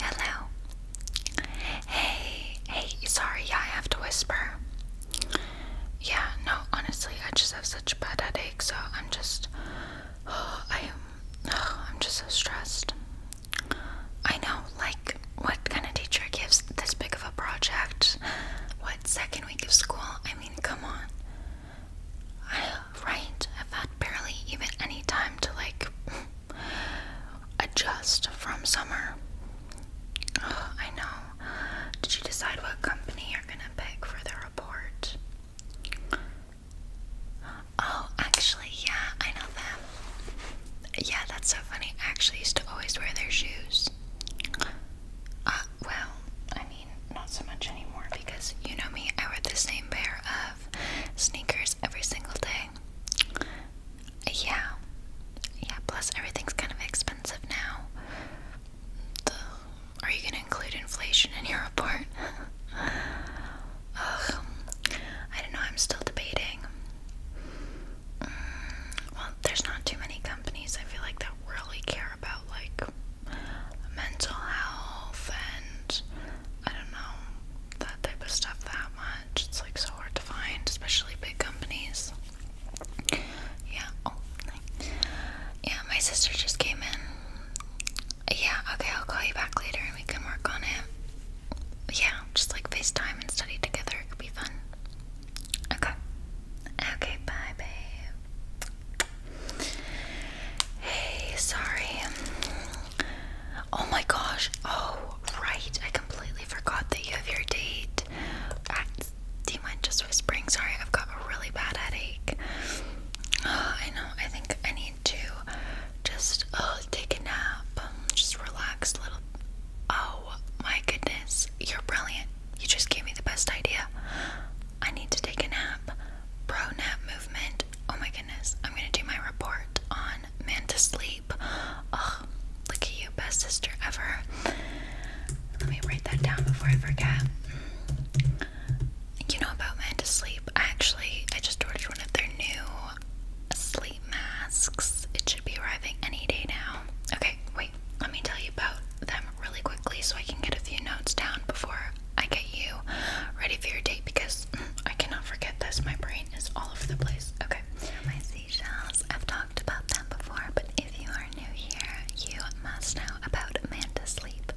Hello. Hey, hey, sorry, I have to whisper. Yeah, no, honestly, I just have such a bad headache, so I'm just oh, I am oh, I'm just so stressed. I know, like, what kind of teacher gives this big of a project? What second week of school? I mean, come on. I, right, I've had barely even any time to, like, adjust from summer. I know. Did you decide what company you're gonna pick for the report? Oh, actually, yeah, I know them. Yeah, that's so funny. I actually used to always wear their shoes. Uh, well, I mean, not so much anymore because you know me, I wear the same pair of sneakers every single day. Yeah. Yeah, plus everything's kind of expensive now. are you gonna include inflation in your report? I don't know, I'm still debating. Mm, well, there's not too many companies I feel like that really care about like mental health and I don't know that type of stuff that much. It's like so hard to find, especially big companies. Yeah. Oh, nice. Yeah, my sister just came in. Yeah. Okay, I'll call you back later and we can work on it. Yeah just like FaceTime and study together. It could be fun. Okay. Okay, bye, babe. Hey, sorry. Oh my gosh. Oh, right. I completely forgot that you have your date. I, do you mind just Sorry, I've got a really bad headache. I know. I think I need to just uh, take a nap, just relax a little. Oh my goodness, you're brilliant. You just gave me the best idea. I need to take a nap. Pro nap movement. Oh my goodness, I'm gonna do my report on man to sleep. Ugh, look at you, best sister ever. Let me write that down before I forget. You know about man Actually, I just ordered one of their new sleep masks. It should be arriving any day now. Okay, wait, let me tell you about them really quickly so I can get a few notes down before I get you ready for your date because I cannot forget this. My brain is all over the place. Okay, my seashells. I've talked about them before, but if you are new here, you must know about Manta Sleep.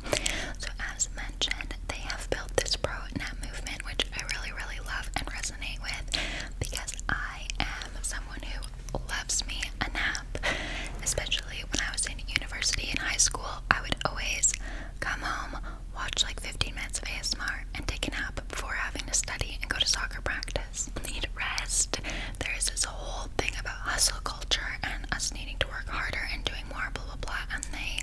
So, as mentioned, they have built this pro net movement, which I really, really love and really with because I am someone who loves me a nap. Especially when I was in university and high school, I would always come home, watch like 15 minutes of ASMR, and take a nap before having to study and go to soccer practice. Need rest. There is this whole thing about hustle culture and us needing to work harder and doing more, blah blah blah, and they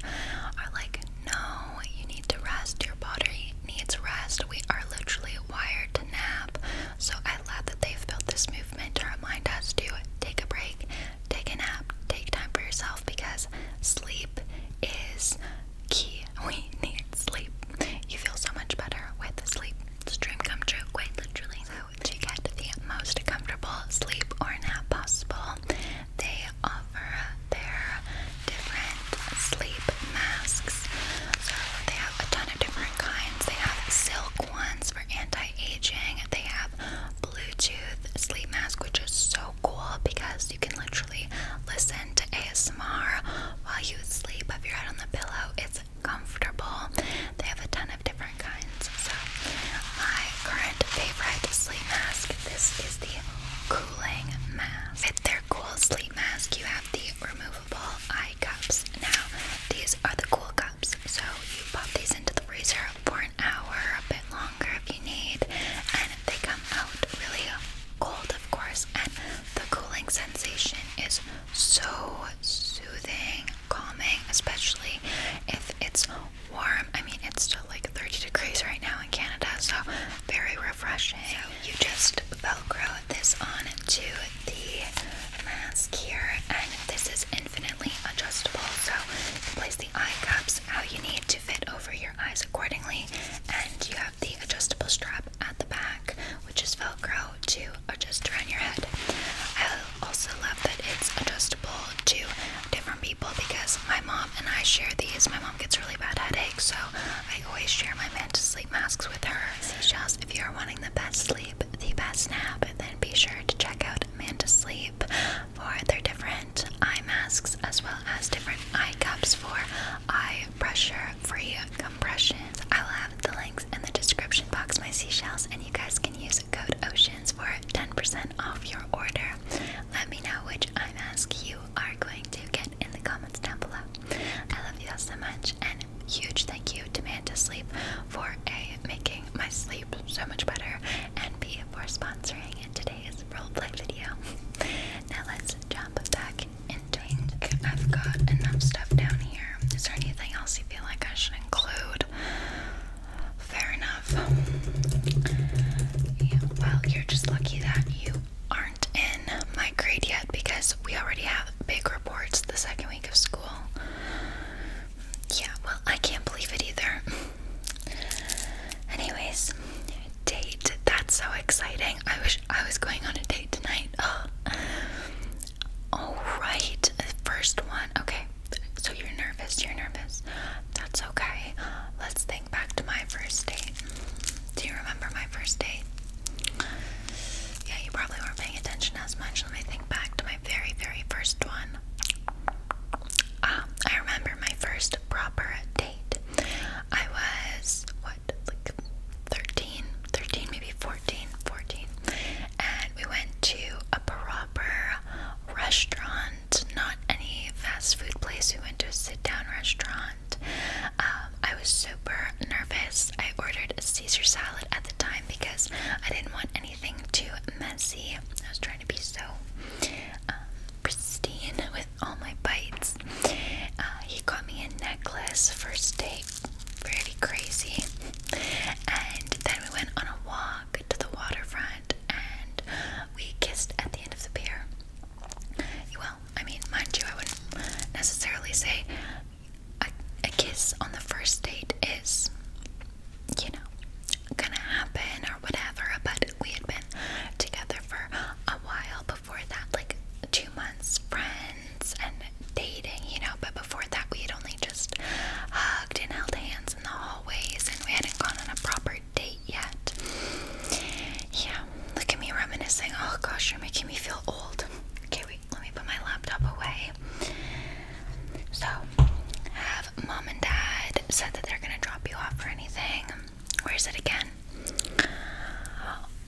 are like no, you need to rest. Your body needs rest. We are literally wired to nap. So I love that they've built this movement to remind us to take a break, take a nap, take time for yourself because sleep is key. We need sleep. You feel so much better with sleep. It's dream come true, Wait, literally. So to get the most comfortable sleep or nap possible, they offer their different sleep masks. So they have a ton of different kinds. They have silk ones for anti-aging. They have Bluetooth sleep mask, which is so cool because you can literally listen to ASMR while you sleep. If you're out on the pillow, it's comfortable. They have a ton of different kinds. So my current favorite sleep mask, this is the cooling mask cool sleep mask, you have the removable eye cups. Now, these are the cool cups, so you pop these into the freezer for an hour, a bit longer if you need, and they come out really cold, of course. And the cooling sensation is so soothing, calming, especially if it's warm. I mean, it's like 30 degrees right now in Canada, so very refreshing. you just velcro this on to the mask here, and this is infinitely adjustable. So you place the eye cups how you need to fit over your eyes accordingly, and you have the adjustable strap at the back, which is velcro to adjust around your head. I also love that it's adjustable to different people because my mom and I share these. My mom gets really bad headaches, so I always share my Mantis sleep masks with her. Seashells, if you are wanting the best sleep, the best nap, then be sure to check out Mantis Sleep for their different eye masks as well as different eye cups for eye pressure free compressions. I'll have the links in the description box, my seashells, and you guys can use code OCEANS for 10% off your order. Let me know which eye mask you are going to get in the comments down below. I love you all so much, and huge thank you to Man for a making my sleep so much better, and B for sponsoring today's roleplay video. now let's jump back and drink. I've got enough stuff down here. Is there anything else you feel like I should include? Fair enough. well, you're just lucky that you aren't in my grade yet because we already have big reports the second week of school. Yeah, well, I can't believe it either. Anyways, date. That's so exciting. I wish I was going on a date tonight. Oh. All right, first one. Okay, so you're nervous. You're nervous. That's okay. Let's think back to my first date. Do you remember my first date? Yeah, you probably weren't paying attention as much. Let me think back to my very, very first one. Uh, I remember my first proper date. I was, what, like 13? 13, maybe 14? 14. And we went to a proper restaurant not any fast food place. We went to a sit down restaurant. Um, I was super nervous. I ordered a Caesar salad at the time because I didn't want anything too messy. I was trying to be so um, pristine with all my bites. Uh, he got me a necklace first date, pretty crazy. And then we went on a walk to the waterfront and we kissed at the end of the pier. Well, I mean, mind you, I wouldn't necessarily say a, kiss on the first date is, you know, gonna happen or whatever, but we had been together for a while before that, like two months, friends and dating, you know, but before that, we had only just hugged and held hands in the hallways and we hadn't gone on a proper date yet. Yeah, look at me reminiscing. Oh gosh, you're making me feel old. Okay, wait, let me put my laptop away. So, have mom and dad said that they're gonna drop you off or anything? Where is it again?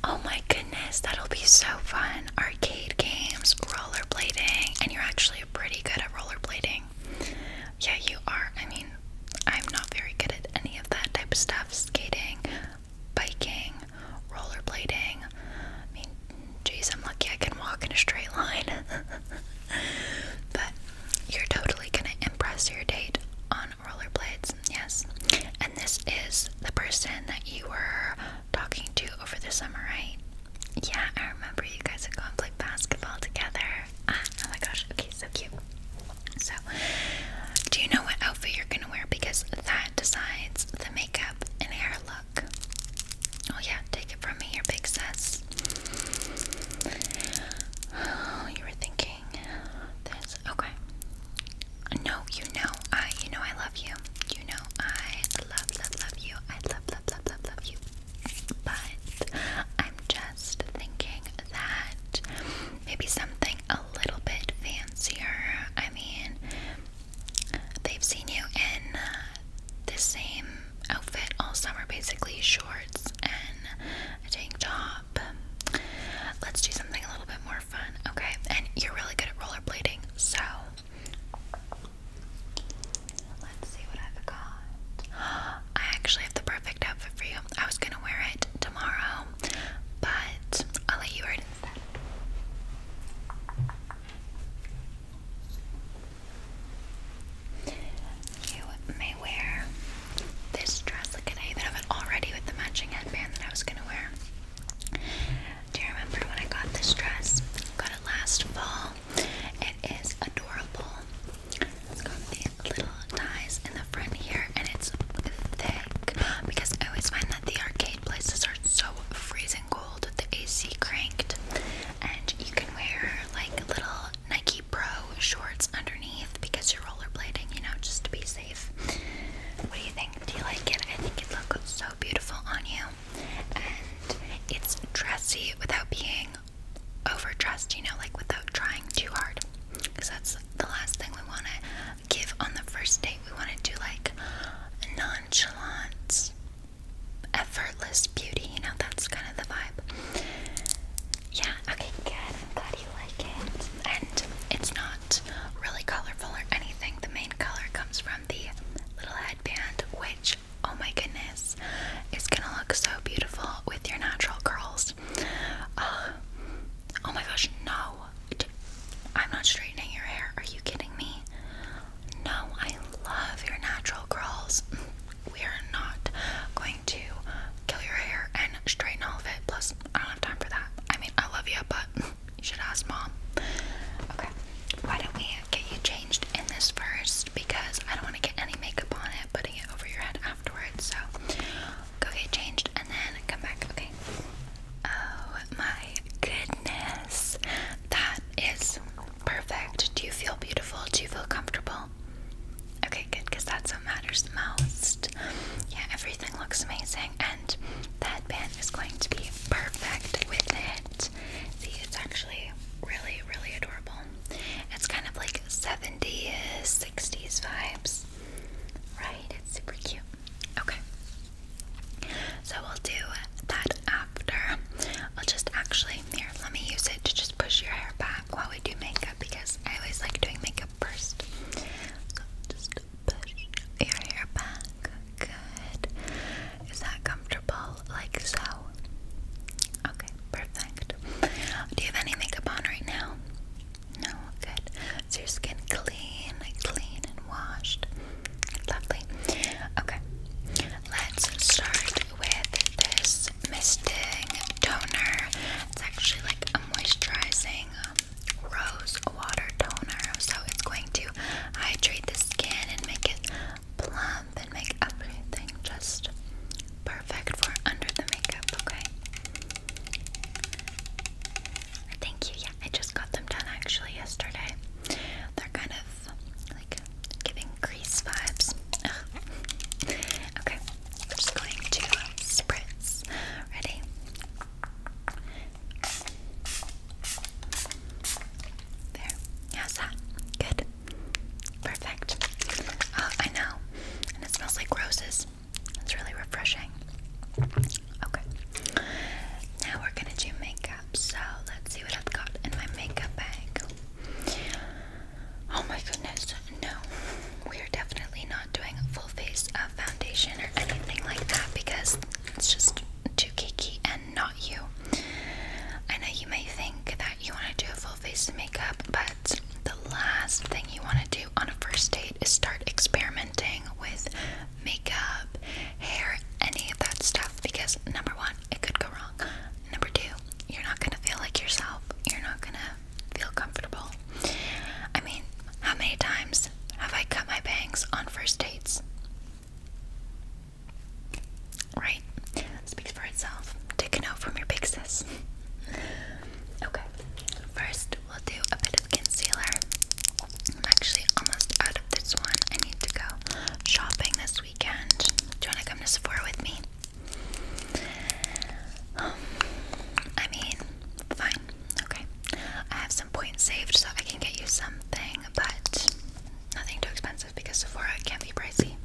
Oh my goodness, that'll be so fun. Arcade games, rollerblading, and you're actually pretty good at rollerblading. Yeah, you are. I mean, I'm not very good at any of that type of stuff. Skating, biking, rollerblading. I mean, geez, I'm lucky I can walk in a straight line. but you're totally gonna impress your date on rollerblades, yes. And this is the person that you were talking to over the summer, right? Yeah, I remember you guys had gone and play basketball together. Ah, oh my gosh. Okay, so cute. So, do you know what outfit you're gonna wear? Because that decides the makeup and hair look. Oh, yeah, take it from me, your big sis. Oh, you were thinking this. Okay. No, you know, I, you know, I love you. You know, I love, love, love you. I love, love, love, love, love you but I'm just thinking that maybe something a little bit fancier. I mean, they've seen you in uh, the same outfit all summer basically shorts and a tank top. Let's do something a little bit more fun, okay? And you're really good at rollerblading, so. Let's see what I've got. I actually have the perfect outfit for you. I was gonna wear it tomorrow, but I'll let you wear it instead. You may wear this dress. Look at I have it already with the matching headband that I was gonna wear. Do you remember when I got this dress? Got it last fall. It is adorable. It's got the little ties in the front here, and it's thick because I always find that the arcade places are so freezing cold with the AC cranked, and you can wear like little Nike Pro shorts underneath because you're rollerblading, you know, just to be safe. What do you think? Do you like it? I think it looks so beautiful on you, and it's dressy without being overdressed, you know, like without trying too hard. Because that's the last thing we want to give on the first date. We want to do like nonchalant, effortless beauty, you know, that's kind of the vibe. Yeah, okay, good. i glad you like it. And it's not really colorful or anything. The main color comes from the little headband, which, oh my goodness. It's gonna look so beautiful with your natural curls. Uh, oh my gosh, no. I'm not straightening your hair. Are you kidding me? No, I love your natural curls. We are not going to kill your hair and straighten all of it. Plus, I don't have time for that. I mean, I love you, but you should ask mom. Okay, why don't we get you changed in this first because I don't want to any makeup on it, putting it over your head afterwards. So go get changed and then come back, Oh my goodness. That is perfect. Do you feel beautiful? Do you feel comfortable? Okay, good, because that's what matters most. Yeah, everything looks amazing, and that band is going to be perfect with it. See, it's actually really, really adorable. It's kind of like 70s, 60s vibes. Right? It's super cute. Okay. So we'll do that after. I'll just actually, here, let me use it to just push your hair back while we do makeup because I always like doing makeup first. So just push your hair back. Good. Is that comfortable? Like so? Okay, perfect. Do you have any makeup on right now? No, good. Is your skin clean, clean and washed? Lovely. Okay, let's start with this misting toner. It's actually like a moisturizing um, rose water toner, so it's going to hydrate the skin and make it plump and make everything just perfect for under the makeup, okay? Thank you. Yeah, I just got them done actually yesterday. They're kind of like giving grease vibes. Okay, I'm just going to spritz. Ready? There. How's Good. Perfect. Uh, I know. And it smells like roses. It's really refreshing. Okay. Now we're gonna do makeup. So let's see what I've got in my makeup bag. Oh my goodness, no. We are definitely not doing a full face of uh, foundation or anything like that because it's just too geeky and not you. I know you may think that you want to do a full face of makeup, but the last thing you want to do on a first date is start experimenting with makeup, hair, any of that stuff because number one, it could go wrong. Number two, you're not gonna feel like yourself. You're not gonna feel comfortable. I mean, how many times have I cut my bangs on first dates? Right? Speaks for itself. Take a note from your big okay. First, we'll do a bit of concealer. I'm actually almost out of this one. I need to go shopping this weekend. Do you want to come to Sephora with me? I mean, fine. Okay. I have some points saved so I can get you something, but nothing too expensive because Sephora can not be pricey.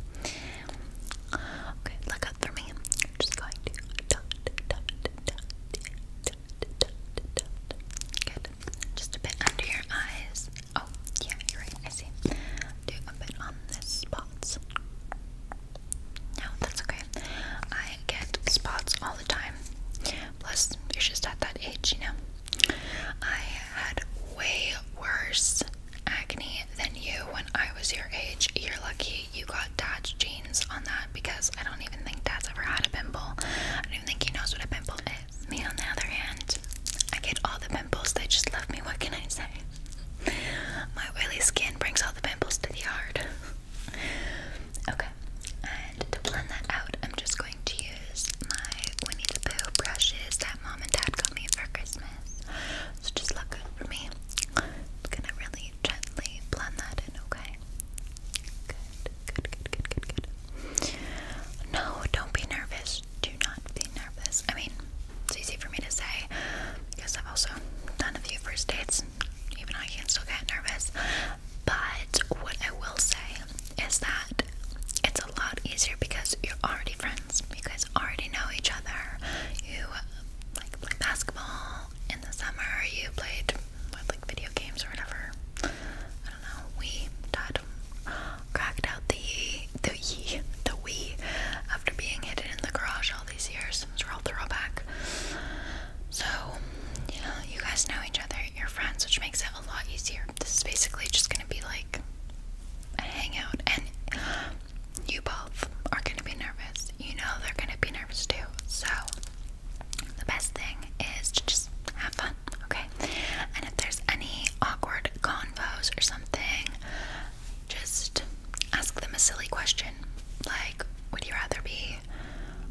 Okay, look up for me. just going to Good. Just a bit under your eyes. Oh, yeah, you're right. I see. Do a bit on this spots. No, that's okay. I get spots all the time. Plus, you're just at that age, you know. I had way worse acne than you when I was your age. You're lucky you got dad's jeans on that because I don't even think dad's ever had a pimple. I don't even think he knows what a pimple is. Me, on the other hand, I get all the pimples. They just love me. What can I say? My oily skin brings all the pimples to the yard. okay, and to blend that out, I'm just going to use my Winnie the Pooh brushes that mom and dad got me for Christmas this. So just look good for me. I'm gonna really gently blend that in, okay? Good, good, good, good, good, good. No, don't be nervous. Do not be nervous. I mean, it's easy for me to say because I've also done a few first dates. Even I can still get nervous. But what I will say is that it's a lot easier because you're already friends. You guys already know each other. You like play basketball in the summer. You played what, like video games or whatever. I don't know. We Todd cracked out the the ye the Wii after being hidden in the garage all these years. It's real throwback. So you know, you guys know each other. You're friends, which makes it a lot easier. This is basically just gonna be like hang out and you both are going to be nervous. You know they're going to be nervous too. So the best thing is to just have fun, okay? And if there's any awkward convos or something, just ask them a silly question like, would you rather be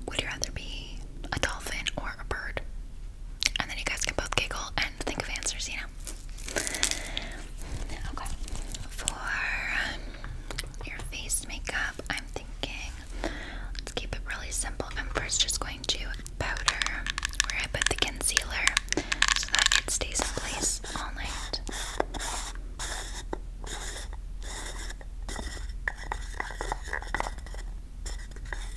would you rather be a dolphin or a bird? and then you guys can both giggle and think of answers, you know? Okay. For um, your face makeup, I'm thinking let's keep it really simple. I'm first just going to powder where I put the concealer so that it stays in place all night.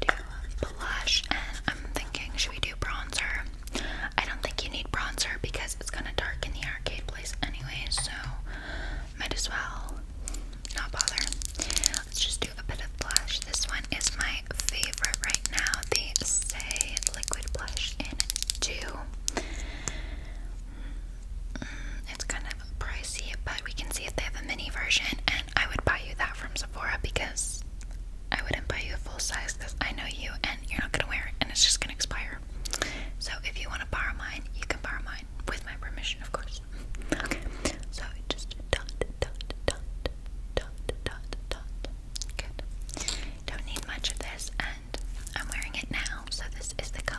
do blush and I'm thinking should we do bronzer? I don't think you need bronzer because it's gonna darken the arcade place anyway, so might as well not bother. Let's just do a bit of blush. This one is my favorite right now, the Say Liquid Blush in 2. Mm, mm, it's kind of pricey, but we can see if they have a mini version. And I would buy you that from Sephora because I wouldn't buy you a full size because I know you and you're not gonna wear it and it's just gonna expire. So if you want to borrow mine, you can borrow mine with my permission, of course. Okay. So just dot dot dot dot dot dot. Good. Don't need much of this, and I'm wearing it now. So this is the color.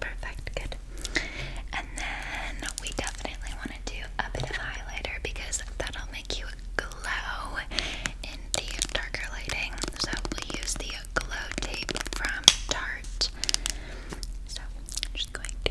Perfect, good. And then we definitely want to do a bit of highlighter because that'll make you glow in the darker lighting. So we'll use the glow tape from Tarte. So I'm just going to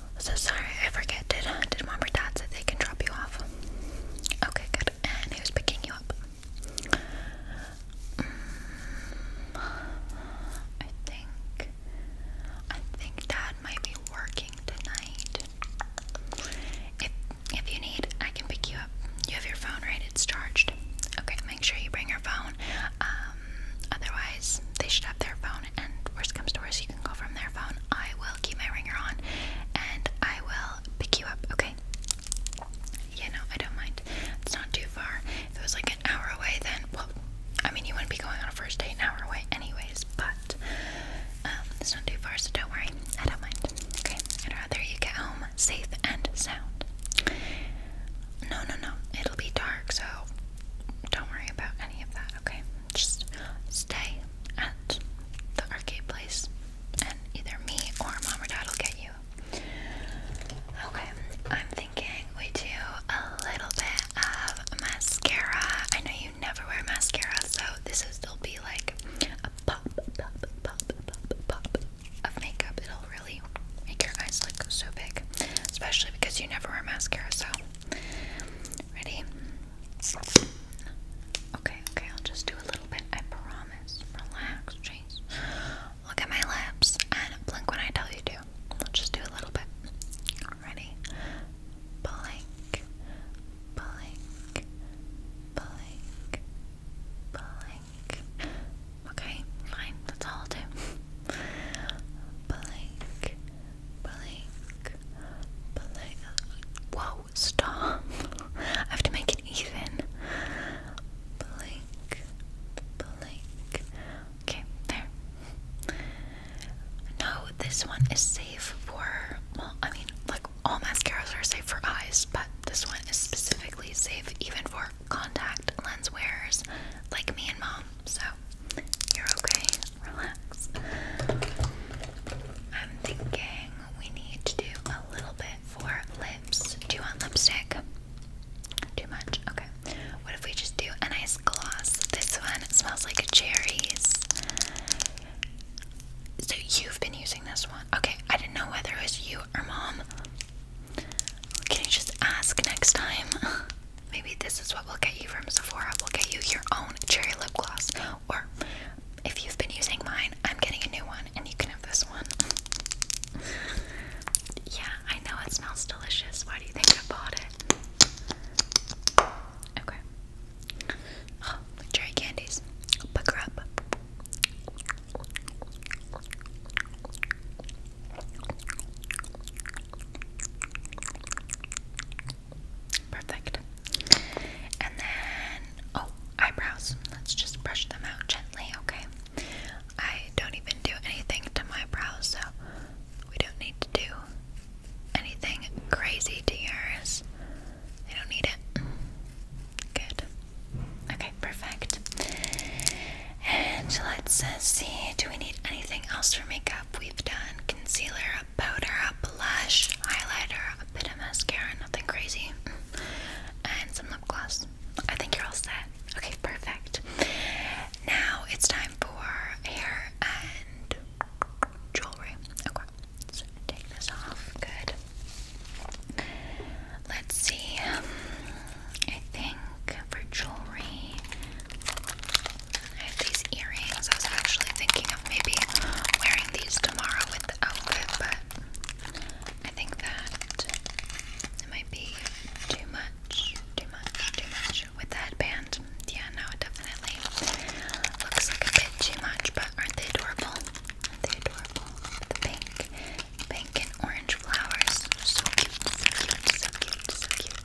So sorry, I forget. Did uh, did mom or dad say they can drop you off? Okay, good. And who's picking you up? Mm, I think I think dad might be working tonight. If if you need, I can pick you up. You have your phone, right? It's charged. Okay, make sure you bring your phone. Um, otherwise, they should have their phone, and worst comes to worst, you can go from their phone. I will keep my ringer on, and I will pick you up, okay? Yeah, no, I don't mind. It's not too far. If it was like an hour away, then, well, I mean, you wouldn't be going on a first date an hour away anyways, but um, it's not too far, so don't worry. I don't mind, okay? I'd rather you get home safe and sound. No, no, no. It'll be dark, so don't worry about any of that, okay? Just stay at the arcade place, and either me or mom or dad will get you. Okay, I'm thinking we do a little bit of mascara. I know you never wear mascara, so this will still be like a pop, pop, pop, pop, pop of makeup. It'll really make your eyes look so big, especially because you never wear mascara, so Ready? Okay, okay, I'll just do a little bit. I promise. Relax, Chase. Look at my lips and blink when I tell you to. I'll just do a little bit. Ready? Blink, blink, blink, blink. Okay, fine. That's all I'll do. blink, blink, blink. Whoa, stop. I have to make it even. Blink, blink. Okay, there. No, this one is safe for, well, I mean, like all mascaras are safe for eyes, but this one is specifically safe even for contact lens wearers like me and mom. So you're okay. Relax. I'm thinking we need to do a little bit for lips. Do you want lipstick? Too much? Okay. What if we just do a nice gloss? This one smells like cherries. So you've been using this one. Okay, I didn't know whether it was you or mom. Can you just ask next time? Maybe this is what will get you from Sephora. We'll get you your own cherry lip gloss. Or if you've been using mine, I'm getting a new one and you can have this one. yeah, I know it smells delicious. Why do you think I bought it? Okay. Oh, cherry candies. Pick up. Perfect. And then, oh, eyebrows. Let's just brush them out gently, okay? I don't even do anything to my brows, so we don't need to do anything crazy to yours. I don't need it. Good. Okay, perfect. And let's see, do we need anything else for makeup? We've done concealer, a powder, a blush, highlighter, a bit of mascara, nothing crazy, mm, and some lip gloss. I think you're all set. Okay, perfect. Now it's time for hair and jewelry. Okay, take this off. Good. Let's see. I think for jewelry, I have these earrings. I was actually thinking of maybe wearing these tomorrow with the outfit, but I think that it might be too much, too much, too much with the headband. Yeah, no, it definitely looks like a bit too much, but aren't they adorable? Aren't they adorable? The pink, pink and orange flowers. So cute, so cute, so cute, so cute.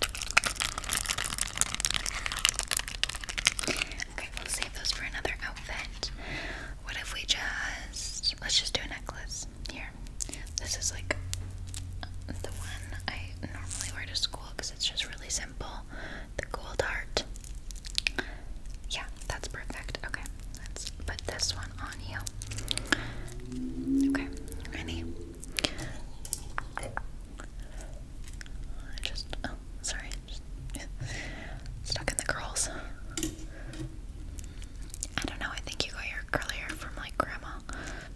Okay, we'll save those for another outfit. What if we just let's just do a necklace here? This is like the one I normally wear to school because it's just really simple. The gold art. Yeah, that's perfect. Okay, let's put this one on you. Okay, ready? I just, oh, sorry, stuck in the curls. I don't know, I think you got your curly hair from like grandma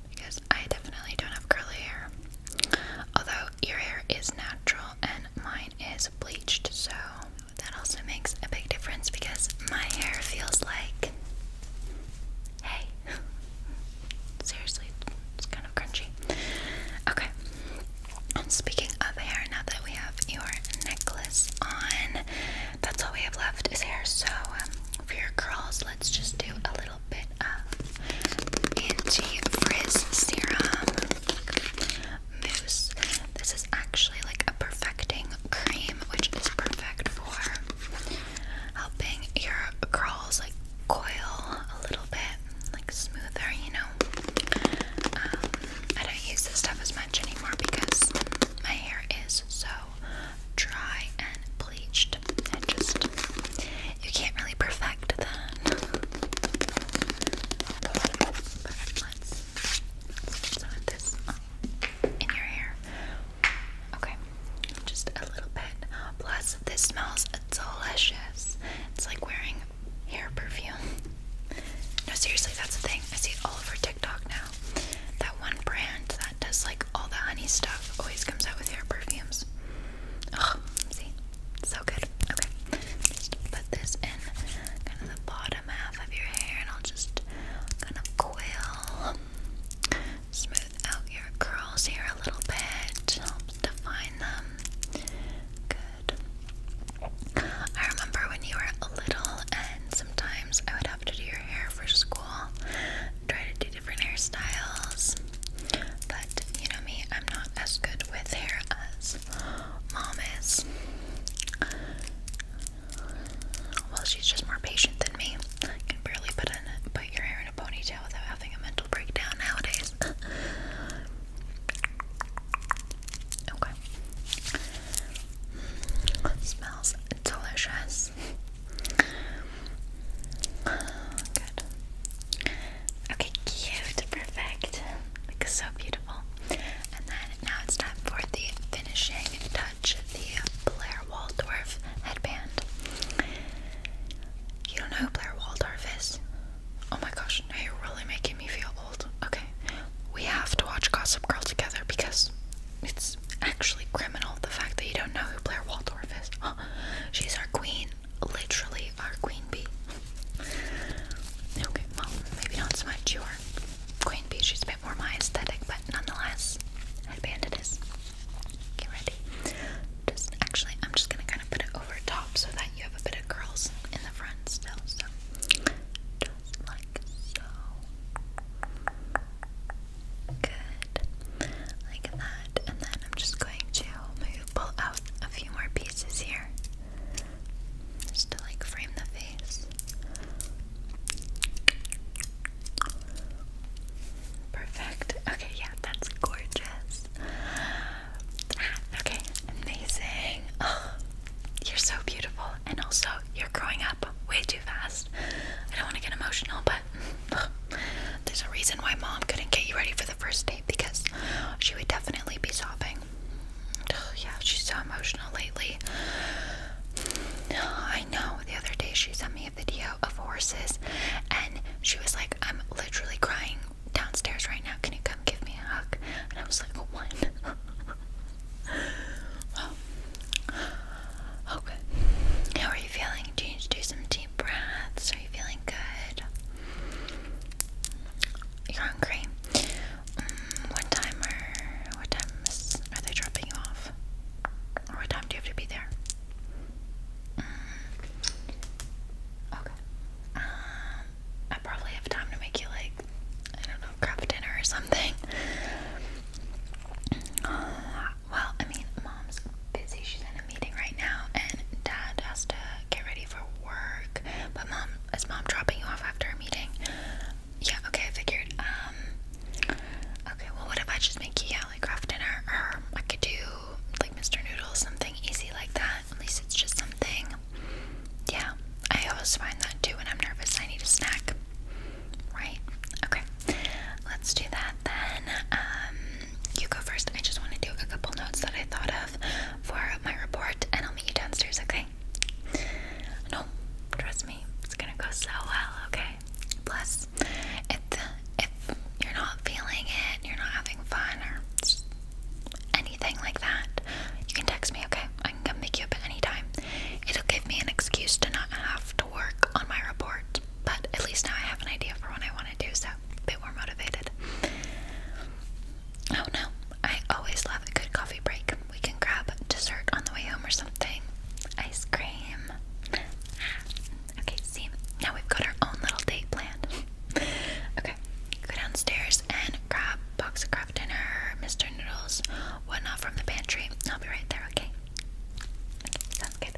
because I definitely don't have curly hair. Although your hair is natural and mine is bleached, so that also makes a big difference because my hair feels like Hey. Seriously, it's kind of crunchy. Okay. Speaking of hair, now that we have your necklace on, that's all we have left is hair. So um, for your curls, let's just do a little bit of anti-frizz serum mousse. This is actually like a perfecting cream, which is perfect for helping your curls like coil a little bit, like smoother, you know. Um, I don't use this stuff as much anymore because my hair is so dry and bleached. It just you can't really perfect that. let's put some of this in your hair. Okay just a little bit. Plus, this smells delicious. It's like wearing hair perfume. no, seriously, that's the thing. I see it all over TikTok now. That one brand that does like all the honey stuff always comes out with hair perfumes. Oh, see, so good. Okay, just put this in kind of the bottom half of your hair, and I'll just kind of coil, smooth out your curls here a little bit, helps define them. Good. I remember when you were a little, and sometimes I would have to do your hair for school, try to do different hairstyles. But you know me, I'm not as good with hair as mom is. Well, she's just more patient than me. You can barely put, put your hair in a ponytail without having a mental breakdown nowadays. okay. smells delicious. Good. Okay, cute. Perfect. Looks so beautiful. And then now it's time for the finishing touch match the Blair Waldorf headband. You don't know who Blair Waldorf is? Oh my gosh, now you're really making me feel old. Okay, we have to watch Gossip Girl together because it's actually criminal the fact that you don't know who Blair Waldorf is. She's our queen, literally our queen bee. Okay, well, maybe not so much your queen bee, she's a bit more my aesthetic, but nonetheless, band it is. Get ready. Just actually, I'm just gonna kind of put it over top so that you have a bit of curls in the front still. just like so. Good, like that. And then I'm just going to pull out a few more pieces here, just to like frame the face. Perfect. Okay, yeah, that's gorgeous. Okay, amazing. Oh, you're so beautiful, and also you're growing up way too fast. I don't want to get emotional, but there's a reason why mom couldn't get you ready for the first date because she would definitely be sobbing. Oh, yeah, she's so emotional lately. I know the other day she sent me a video of horses and she was like, I'm literally crying downstairs right now. Can you come give me a hug? And I was like, What? okay. are you feeling? Do you need to do some deep breaths? Are you feeling good? You're hungry? Mm, what time are, what time are they dropping you off? what time do you have to be there? Mm. Okay. Um, I probably have time to make you, like, I don't know, grab dinner or something. well, I mean, mom's busy. She's in a meeting right now, and dad has to get ready for work. But mom, is mom dropping you off after a meeting? Yeah, okay, I figured. Um, okay, well, what if I just make you craft dinner? Or I could do like Mr. Noodles, something easy like that. At least it's just something. Yeah, I always find that too when I'm nervous. I need a snack. Right? Okay, let's do that then. Um, you go first. I just want to do a couple notes that I thought of for my report, and I'll meet you downstairs, okay? No, trust me, it's gonna go so well, okay? Plus, if, if you're not feeling it, you're not having fun, or anything like that, you can text me, okay? I can come pick you up at any time. It'll give me an excuse to not have to work on my report, but at least now I have an idea for what I want to do, so a bit more motivated. Oh no, I always love a good coffee break we can grab dessert on the way home or something. Ice cream. Ah, okay, see, now we've got our own little date planned. okay, go downstairs and grab box of craft dinner, Mr. Noodles, whatnot from the pantry. I'll be right there, Okay, sounds good.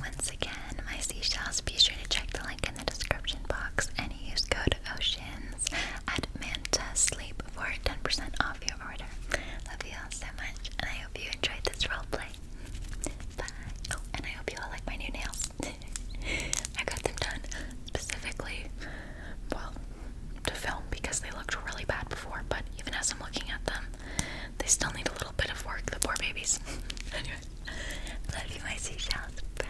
Once again, my seashells, be sure to check the link in the description box and use code OCEANS at Manta Sleep for 10% off your order. Love you all so much, and I hope you enjoyed this roleplay. Bye. Oh, and I hope you all like my new nails. I got them done specifically, well, to film because they looked really bad before, but even as I'm looking at them, they still need a little bit of work, the poor babies. love you, my seashells. Bye.